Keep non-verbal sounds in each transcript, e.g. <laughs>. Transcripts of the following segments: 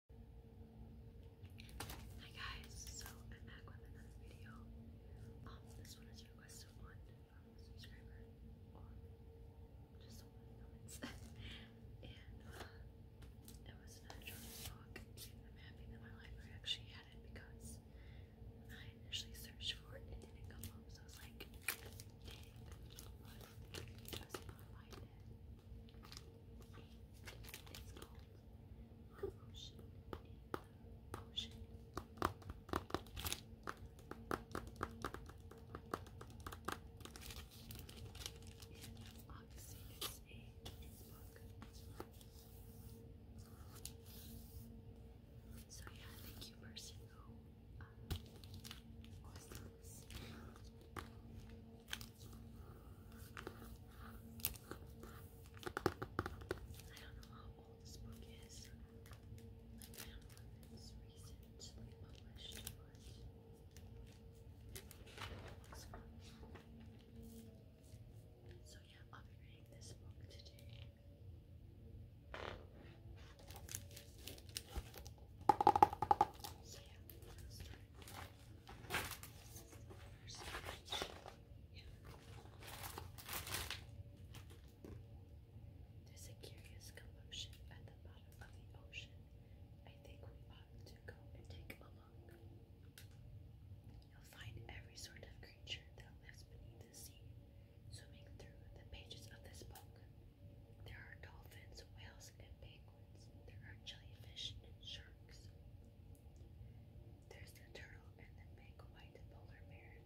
Hi guys, so I'm back with another video. Um, this one is a one from a subscriber, just someone in <laughs> and uh, it was an atrocious book. I'm happy that my library actually had it because I initially searched for it, it didn't come up, so I was like, I was gonna find it. It's called Potion in the Potion. And obviously it's a book. So yeah, thank you person who uh, was the know how old this book is. I found one that's recently published, so yeah, I'll be reading this book today. There's a curious commotion at the bottom of the ocean. I think we ought to go and take a look. You'll find every sort of creature that lives beneath the sea swimming through the pages of this book. There are dolphins, whales, and penguins. There are jellyfish and sharks. There's the turtle and the big white polar bear.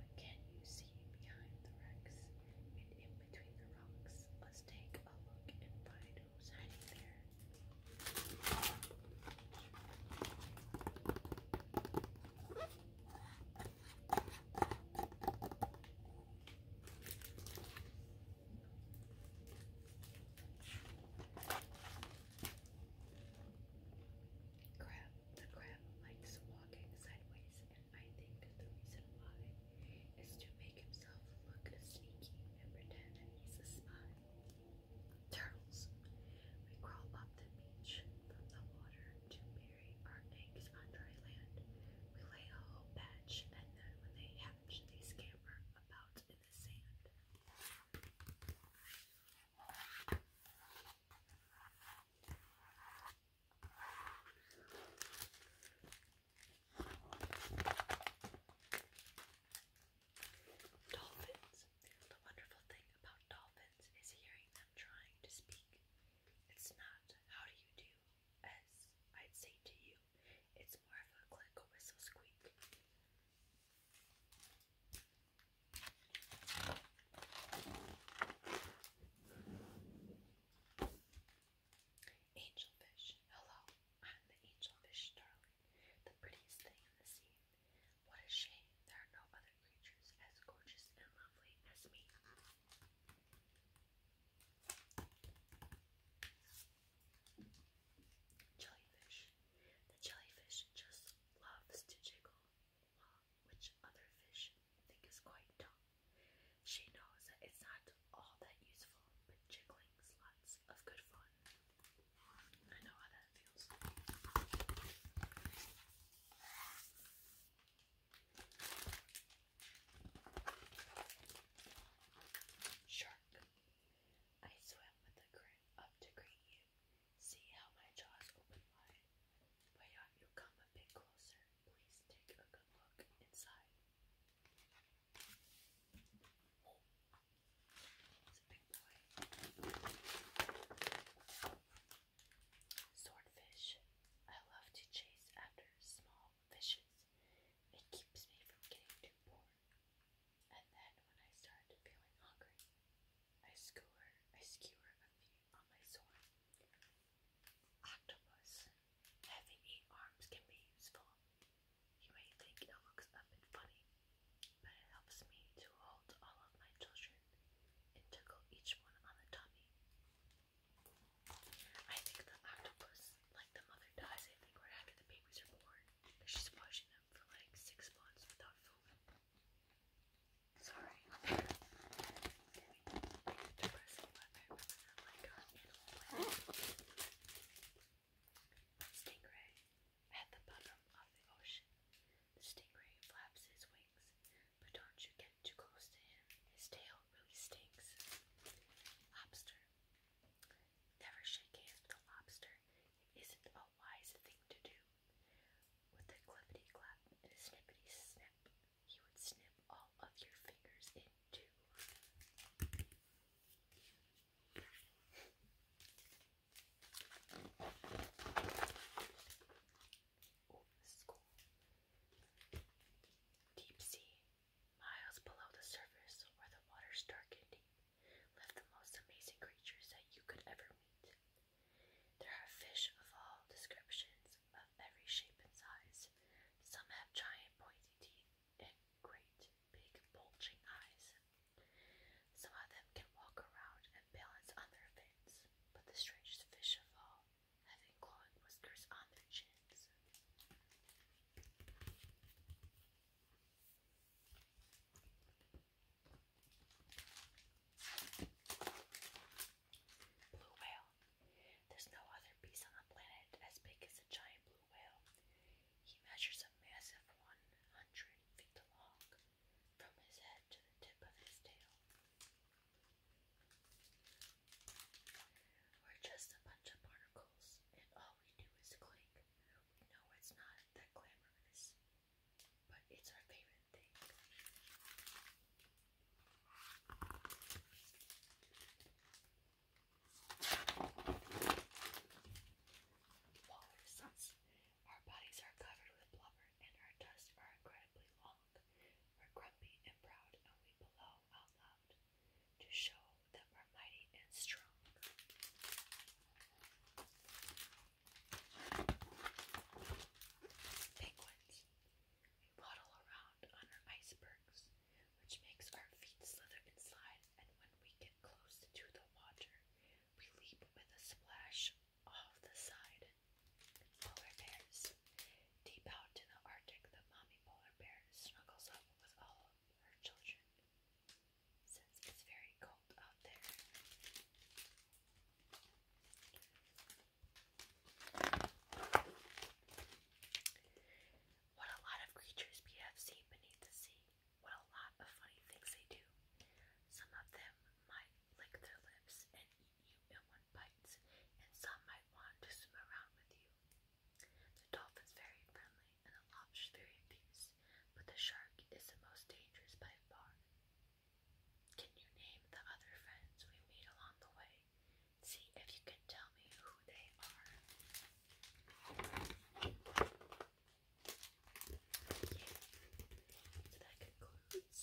But can you see behind the wrecks and in between the rocks? Let's take a look and find who's hiding there. Crab, the crab likes walking sideways, and I think the reason why is to make himself look sneaky and pretend that he's a spy. Turtles. We crawl up the beach from the water to bury our eggs on dry land. We lay a whole batch, and then when they hatch, they scamper about in the sand. Dolphins. The wonderful thing about dolphins is hearing trying to speak. It's not how do you do, as I'd say to you. It's more of a click, a whistle, squeak. Angelfish. Hello. I'm the angelfish, darling. The prettiest thing in the sea. What a shame there are no other creatures as gorgeous and lovely as me. Jellyfish. The jellyfish just loves to jiggle, which other fish think is quite dumb. She knows that it's not all that useful, but jiggling's lots of good fun. I Shark. I swim with the current up to greet you. See how my jaws open wide. Why do you come a bit closer? Please take a good look inside. It's a big boy. Swordfish. I love to chase after small fishes. It keeps me from getting too bored. And then when I start feeling hungry, I skewer I skewer a few on my sword. Octopus. Having eight arms can be useful you may think it looks a bit funny, but it helps me to hold all of my children and tickle each one on the tummy. I think the octopus, like the mother dies, I after the babies are born, she's watching them for like six months without food. Sorry. <laughs> Depressing, but I remember like uh, Stingray. At the bottom of the ocean, the stingray flaps his wings, but don't you get too close to him. His tail really stinks. Lobster. Never shake hands with a lobster. It isn't a wise thing to do. With a clippity clap and a snippity snip, he would snip all of your fingers in two. Deep sea, miles below the surface, where the water's dark and deep, live the most amazing creatures that you could ever meet. There are fish of all descriptions, of every shape and size. Some have giant pointy teeth, and great big bulging eyes. Some of them can walk around and balance on their fins, but the strangest fish of all, having glowing whiskers on their chins. Blue whale. There's no other beast on the planet as big as a giant blue whale. He measures a massive 100 feet long from his head to the tip of his tail. We're just a bunch of particles, and all we do is clink. We know it's not that glamorous, but it's our favorite thing. Our bodies are covered with blubber, and our tusks are incredibly long. We're grumpy and proud, and we bellow out loud to show that we're mighty and strong. Penguins waddle around on icebergs, which makes our feet slither and slide, and when we get close to the water, we leap with a splash off the side. Polar bears. Deep out in the Arctic, the mommy polar bear snuggles up with all her children. Since it's very cold out there, what a lot of creatures we have seen beneath the sea. What a lot of funny things they do. Some of them might lick their lips and eat you in one bite, and some might want to swim around with you. The dolphin is very friendly and the is very fierce, but the shark is the most dangerous by far. Can you name the other friends we meet along the way? See if you can tell me who they are. So that concludes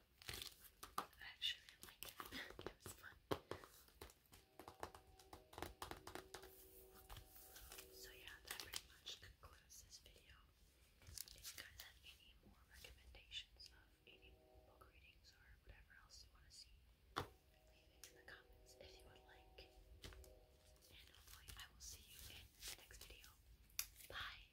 I <laughs> So yeah, that pretty much concludes this video. If you guys have any more recommendations of any book readings or whatever else you want to see, leave it in the comments if you would like. And hopefully I will see you in the next video. Bye!